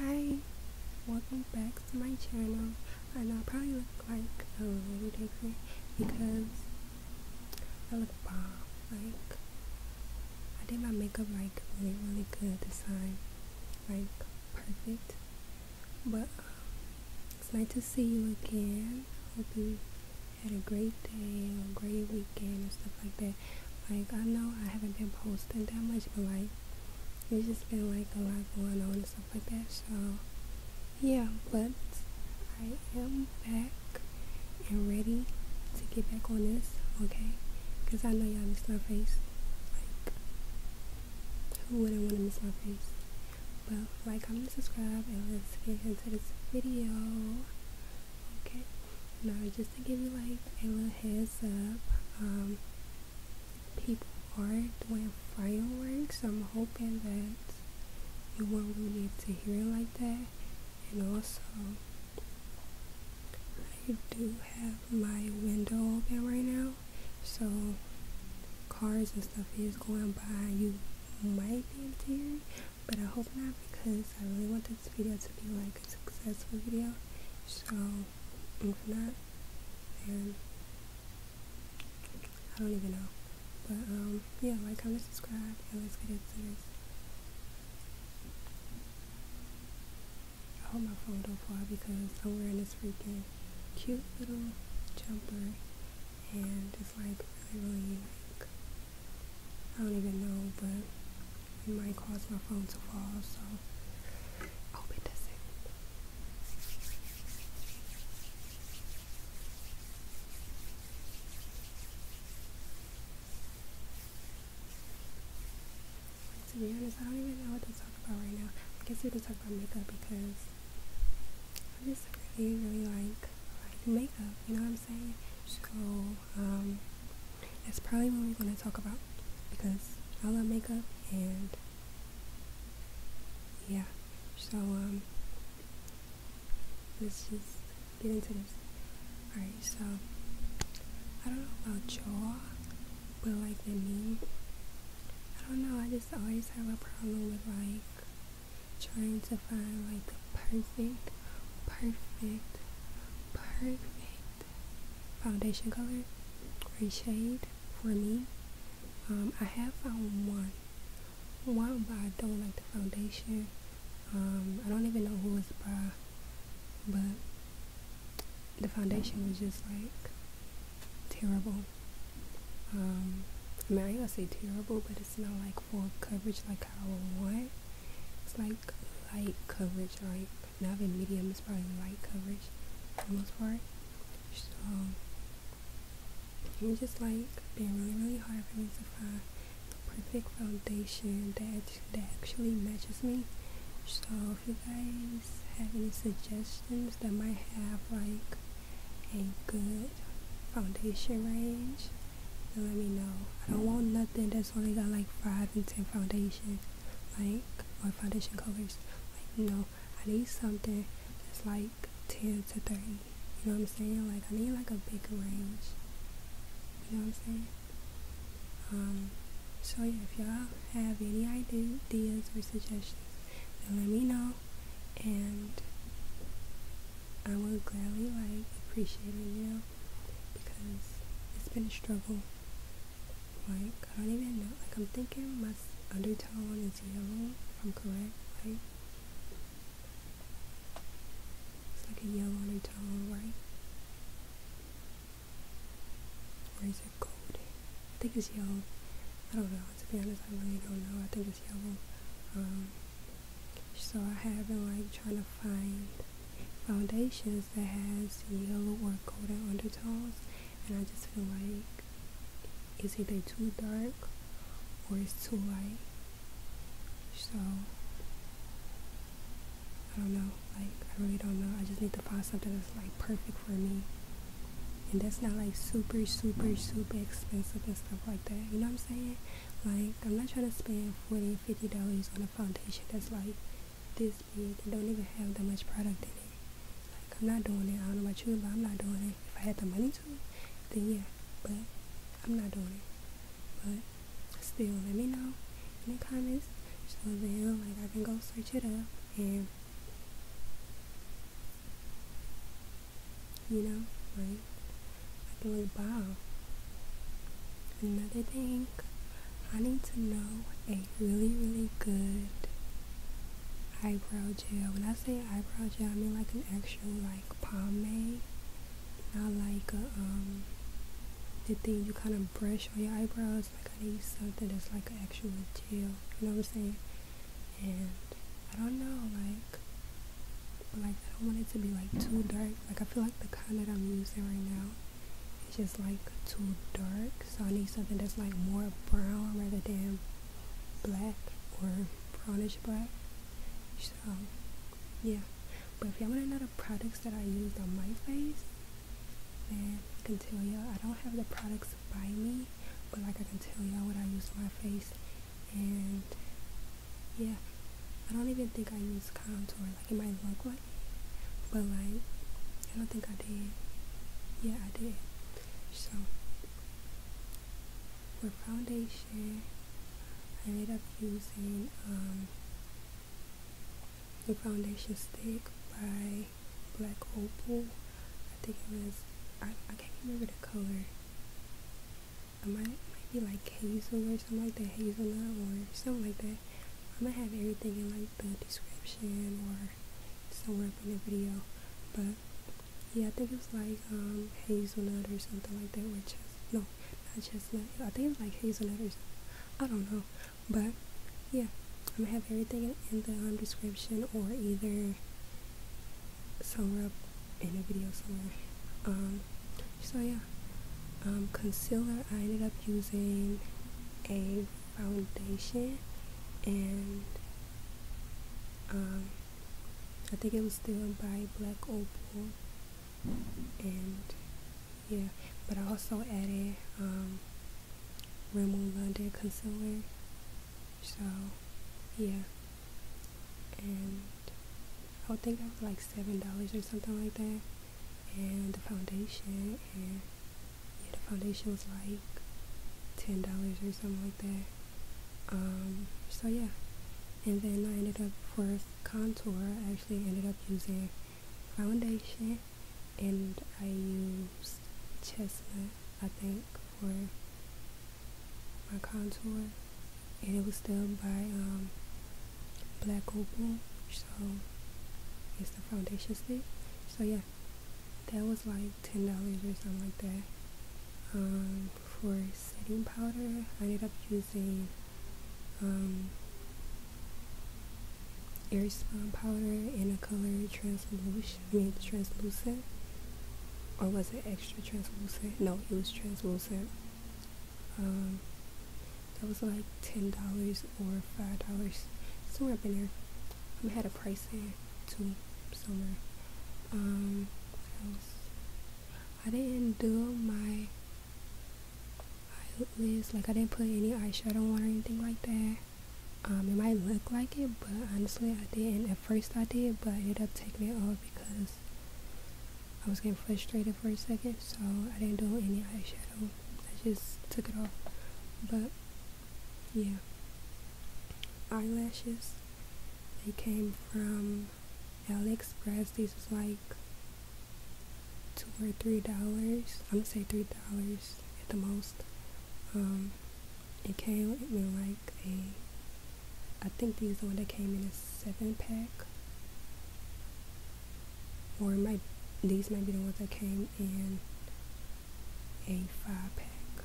Hi, welcome back to my channel. I know I probably look like a little lunatic because I look bomb. Like, I did my makeup like really, really good this time. Like, perfect. But, um, it's nice to see you again. Hope you had a great day or a great weekend and stuff like that. Like I know I haven't been posting that much, but like it's just been like a lot going on and stuff like that. So yeah, but I am back and ready to get back on this, okay? Because I know y'all miss my face. Like who wouldn't want to miss my face? But like, comment, subscribe, and let's get into this video. Okay, now just to give you like a little heads up, um, people are doing fireworks. I'm hoping that you won't really need to hear it like that. And also, I do have my window open right now, so cars and stuff is going by. You might be able to hear it but I hope not because I really want this video to be like a successful video. So for that. And I don't even know. But um, yeah, like, comment, subscribe, and let's get into I hope my phone don't fall because somewhere in this freaking cute little jumper and it's like really, really unique. I don't even know, but it might cause my phone to fall, so I hope it doesn't. To be honest, I don't even know what to talk about right now. I guess we just talk about makeup because I just really, really like like makeup. You know what I'm saying? So um, that's probably what we're gonna talk about because I love makeup and yeah. So um, let's just get into this. Alright, so I don't know about jaw, but like the knee. I don't know. I just always have a problem with like trying to find like the perfect, perfect, perfect foundation color or shade for me. Um, I have found one, one, but I don't like the foundation. Um, I don't even know who it's by, but the foundation was just like terrible. Um, I mean, I gonna say terrible, but it's not like full coverage like how I want. It's like light coverage, like not even medium, it's probably light coverage for the most part. So, it's just like been really, really hard for me to find the perfect foundation that, that actually matches me. So, if you guys have any suggestions that might have like a good foundation range, then let me know. I don't want nothing that's only got like 5 and 10 foundations, like, or foundation colors. Like, no, I need something that's like 10 to 30. You know what I'm saying? Like, I need like a bigger range. You know what I'm saying? Um, so yeah, if y'all have any ideas or suggestions, then let me know, and I will gladly appreciate it, you know, because it's been a struggle. Like I don't even know. Like I'm thinking my undertone is yellow. If I'm correct, right? It's like a yellow undertone, right? Where is it golden? I think it's yellow. I don't know. To be honest, I really don't know. I think yellow. Um, so I have been like trying to find foundations that has yellow or golden undertones, and I just feel like it's either too dark or it's too light. So I don't know. Like I really don't know. I just need to find something that's like perfect for me. And that's not like super, super, super expensive and stuff like that. You know what I'm saying? Like, I'm not trying to spend 40 50 dollars on a foundation that's like this big and don't even have that much product in it. Like, I'm not doing it. I don't know about you, but I'm not doing it. If I had the money to, then yeah. But I'm not doing it. But still, let me know in the comments so then, like, I can go search it up and you know, right? I can like, wow. Another thing, I need to know a really, really good eyebrow gel. When I say eyebrow gel, I mean like an actual like pomade, not like a, um the thing you kind of brush on your eyebrows. Like I need something that's like an actual gel. You know what I'm saying? and I don't know, like, like I don't want it to be like too dark. Like I feel like the kind that I'm using right now it's just like too dark, so I need something that's like more brown rather than black or brownish black. So yeah, but if y'all want to know the products that I used on my face, then continue. I don't have the products looks by me but like I can tell y'all what I use on my face and yeah I don't even think I use contour like it might look like but like I don't think I did yeah I did so for foundation I ended up using um, the foundation stick by black opal. I think it was I, I can't remember the color. I might might be like hazel or something like that, hazelnut or something like that. I'm gonna have everything in like the description or somewhere up in the video. But yeah, I think it was like um hazelnut or something like that or chestnut. No, not chestnut. I think it was like hazelnut or something. I don't know. But yeah, I'm gonna have everything in the um, description or either somewhere up in a video somewhere. Um, so yeah, um, concealer, I ended up using a foundation and I think it was still by Black Opal and yeah, but I also added Rimmel London Concealer. So, yeah. And I would think I was like $7 or something like that. And the foundation, and yeah, the foundation was like $10 or something like that. Um, so, yeah. And then I ended up for contour, I actually ended up using foundation and I used chestnut, I think, for my contour, and it was done by um, Black Opal, so it's the foundation stick. So yeah, that was like ten dollars or something like that. Um, for setting powder, I ended up using um, Air powder in a color translucent, I mean translucent, or was it extra translucent? No, it was translucent. Um, that was like ten dollars or five dollars, somewhere up in there. I had a price in too, somewhere. Um, I didn't do my eyelids, like I didn't put any eyeshadow on or anything like that. Um, it might look like it, but honestly, I didn't. At first, I did, but it ended up taking it off because I was getting frustrated for a second, so I didn't do any eyeshadow. I just took it off. But yeah, eyelashes. They came from AliExpress. This was like two or three dollars. I'm gonna say three dollars at the most. Um, it came in like a, I think these are the ones that came in a seven pack, or might these might be the ones that came in a five pack.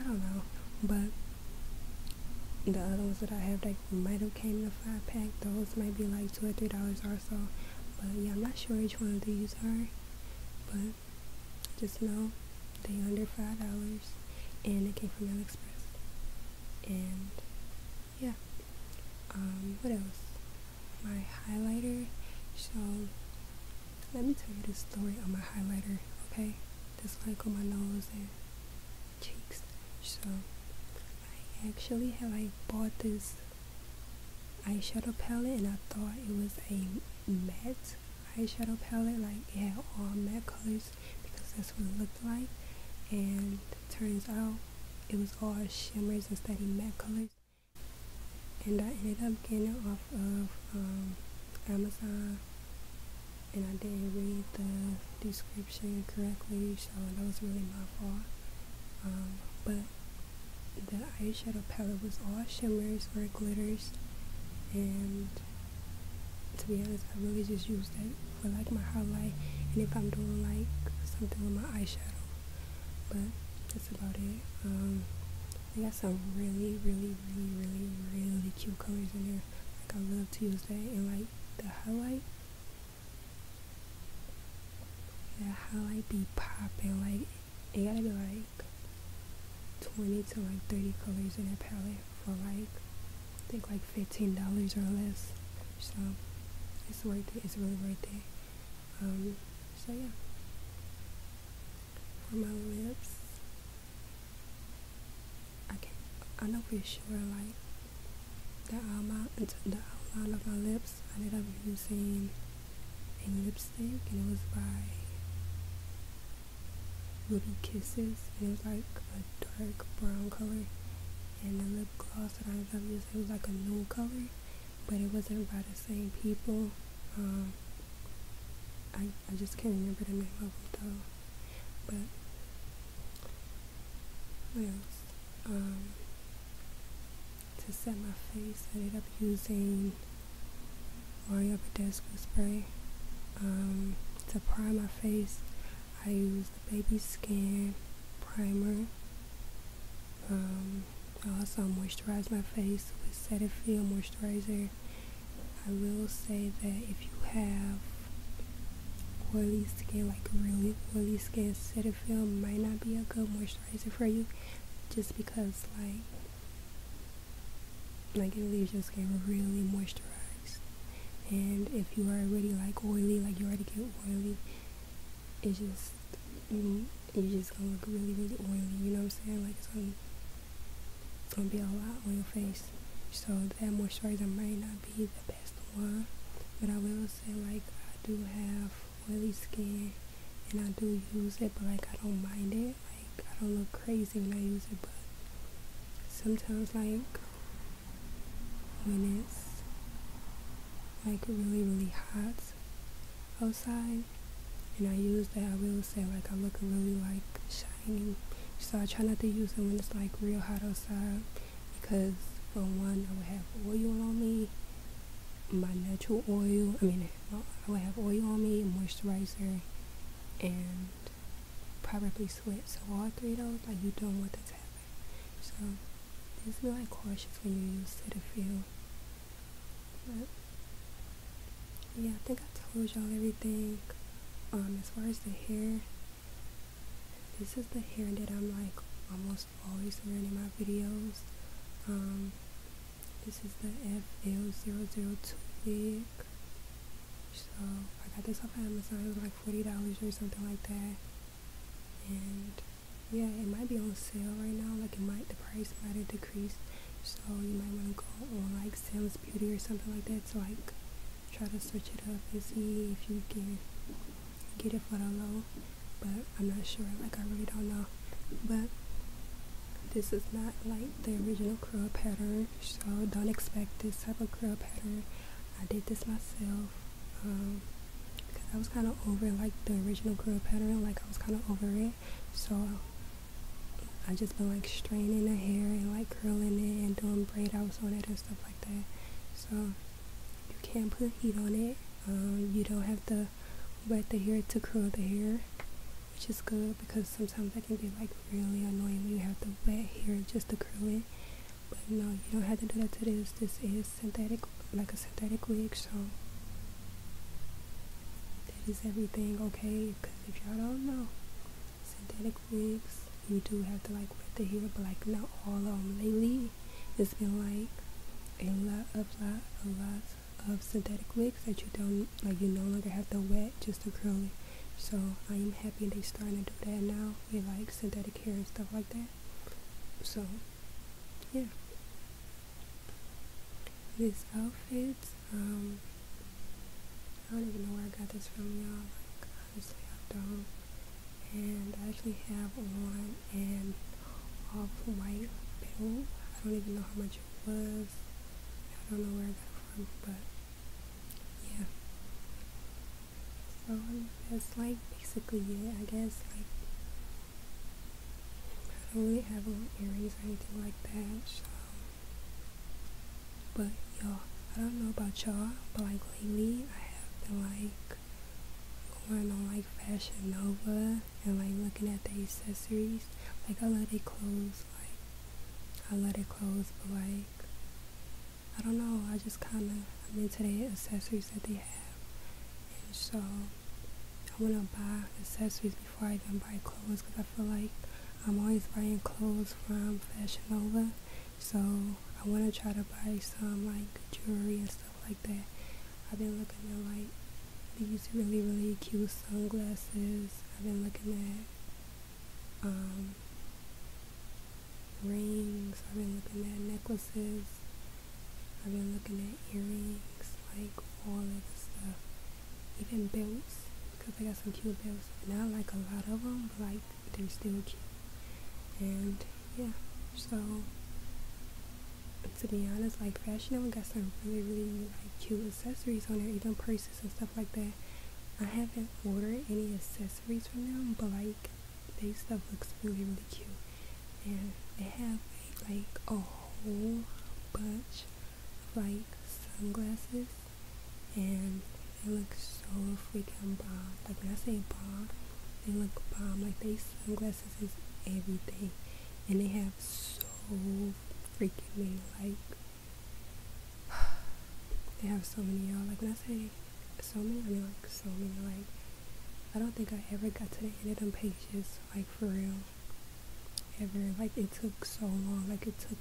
I don't know, but the other ones that I have that might have came in a five pack, those might be like two or three dollars also. But yeah, I'm not sure each one of these Sorry, are, but just know they under five dollars, and it came from AliExpress. And yeah, um, what else? My highlighter. So let me tell you the story on my highlighter, okay? This like on my nose and cheeks. So I actually have like bought this eyeshadow palette and I thought it was a matte eyeshadow palette like it had all matte colors because that's what it looked like and turns out it was all shimmers instead of matte colors and I ended up getting it off of um, Amazon and I didn't read the description correctly so that was really my fault um, but the eyeshadow palette was all shimmers or glitters and to be honest I really just use that for like my highlight and if I'm doing like something with my eyeshadow but that's about it um they got some really really really really really cute colors in there like I love to use that and like the highlight yeah, how I be popping like it gotta be like 20 to like 30 colors in a palette for like I think like $15 or less. So it's worth it. It's really worth it. Um, so yeah. For my lips, I can I know for sure like the outline, the outline of my lips. I ended up using a lipstick and it was by Ruby Kisses it was like a dark brown color and the lip gloss that I ended up using was like a nude color but it wasn't by the same people. Um, I, I just can't remember the name of them though. But what else? Um, to set my face. I end up using Oreo Badescu spray um, to prime my face. I use the Baby Skin primer. Um, I also moisturize my face with Set and Feel moisturizer. I will say that if you have oily skin, like really oily skin, Set feel might not be a good moisturizer for you just because like like it leaves your skin really moisturized and if you are already like oily like you already get oily it's just you mm, you just gonna look really really oily you know what i'm saying like it's gonna gonna be a lot on your face so that moisturizer might not be the best one. But I will say like I do have oily skin and I do use it but like I don't mind it. Like I don't look crazy when I use it but sometimes like when it's like really really hot outside and I use it, I will say like I look really like shiny so I try not to use it when it's like real hot outside because for one I would have oil on me my natural oil I mean I would have oil on me moisturizer and probably sweat so all three of those like you don't want that happening. so just be like cautious when you use Cetaphil but yeah I think I told y'all everything um as far as the hair this is the hair that I'm like almost always wearing in my videos. Um, this is the FL002 wig. So I got this off Amazon. It was like $40 or something like that. And yeah, it might be on sale right now. Like it might, the price might have decreased. So you might want to go on like Sam's Beauty or something like that It's like try to search it up and see if you can get it for the low, but I'm not sure. Like I really don't know. But this is not like the original curl pattern, so don't expect this type of curl pattern. I did this myself. Um, because I was kind of over like the original curl pattern, like I was kind of over it. So I just been like straining the hair and like curling it and doing braid outs on it and stuff like that. So you can put heat on it. Um, you don't have to wet the hair to curl the hair, which is good because sometimes that can be like really annoying when you have to wet hair just to curl it. But no, you don't have to do that to this. This is synthetic, like a synthetic wig, so that is everything okay? Because if y'all don't know, synthetic wigs, you do have to like wet the hair, but like now all of them lately. It's been like a lot of lot of lots of synthetic wigs that you don't like you no longer have to wet just to curl it. So I am happy they starting to do that now with like synthetic hair and stuff like that. So yeah. these outfits. um I don't even know where I got this from, y'all. Like, honestly, I don't. And I actually have one an off-white bill. I don't even know how much it was. I don't know where that got it from, but yeah. So that's like basically it, I guess. Like, I don't really have on earrings or anything like that, so but y'all, I don't know about y'all, but like lately I have been like going on like Fashion Nova and like looking at the accessories. Like I love their clothes, like I love their clothes, but like I don't know, I just kinda I'm into the accessories that they have. And so I wanna buy accessories before I even buy clothes, 'cause I feel like I'm always buying clothes from Fashion Nova so I want to try to buy some like jewelry and stuff like that. I've been looking at like these really really cute sunglasses. I've been looking at um, rings. I've been looking at necklaces. I've been looking at earrings, like wallets stuff, even belts because I got some cute belts. And I like a lot of them, but like tasting and yeah so to be honest like fashion Nova got some really really like cute accessories on there even purses and stuff like that I haven't ordered any accessories from them but like they stuff looks really really cute and they have like, like a whole bunch of like sunglasses and they look so freaking bomb. Like when I say bomb, they look bomb. Like they sunglasses is everything, and they have so freaking many. Like they have so many y'all. Like when I say so many, I mean like so many. Like I don't think I ever got to the end of them pages. Like for real, ever. Like it took so long. Like it took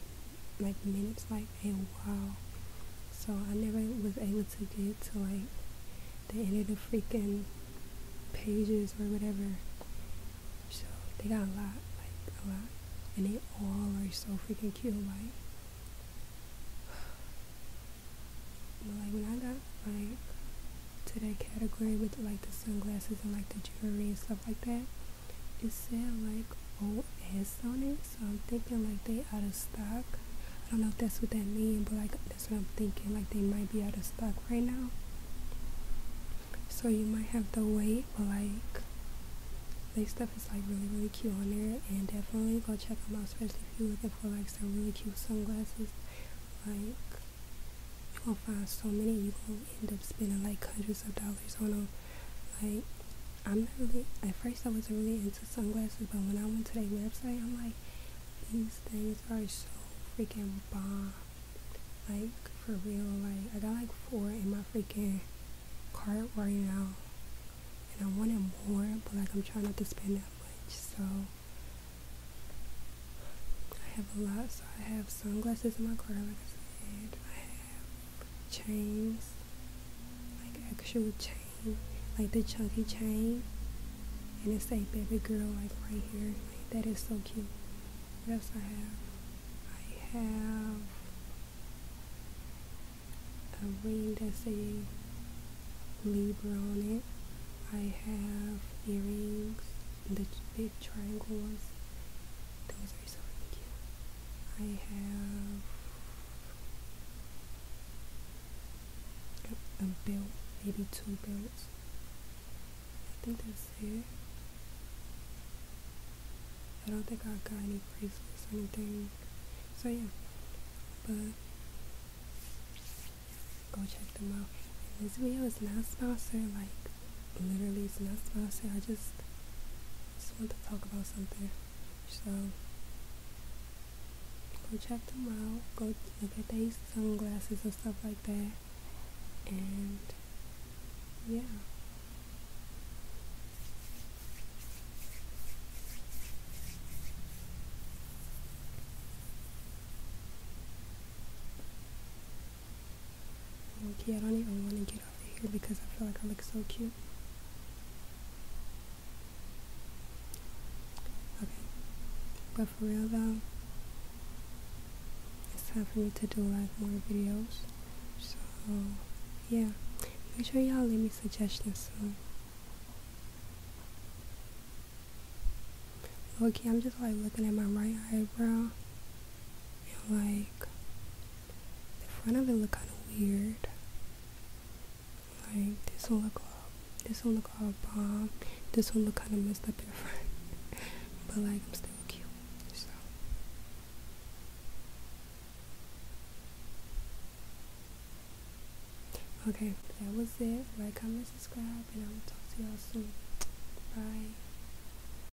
like minutes like a while. So I never was able to get to like the end of the freaking pages or whatever. So they got a lot, like a lot. And they all are so freaking cute, like but like when I got like to that category with like the sunglasses and like the jewelry and stuff like that, it said like OS on it, so I'm thinking like they out of stock. I don't know if that's what that means, but like that's what I'm thinking. Like they might be out of stock right now. So you might have to wait, but like this stuff is like really really cute on there and definitely go check them out, especially if you're looking for like some really cute sunglasses. Like you're find so many you won't end up spending like hundreds of dollars on them. Like, I'm not really, at first I wasn't really into sunglasses, but when I went to their website, I'm like, these things are so freaking bomb. Like, for real, like, I got like four in my freaking cart right now. And I wanted more, but like, I'm trying not to spend that much, so. I have a lot, so I have sunglasses in my cart, like I said. I have chains, like actual chain, like the chunky chain. And it say baby girl like right here. that is so cute. Yes, I have? I have a ring that say Libra on it. I have earrings, the big triangles. Those are so cute. I have a, a belt, maybe two belts. I think that's it. I don't think I got any bracelets or anything. So yeah, but go check them out. And this video is not sponsored, like literally it's not sponsored. I just just want to talk about something. So go check them out. Go look at these sunglasses and stuff like that. And yeah. Okay, I don't even want to get out of here because I feel like I look so cute. Okay, but for real though, it's time for me to do like more videos. So, yeah, make sure y'all leave me suggestions soon. Okay, I'm just like looking at my right eyebrow and like the front of it look kind of weird like this one look all, this one look all bomb this one look kind of messed up in the front but like I'm still cute so okay that was it like comment subscribe and I will talk to y'all soon bye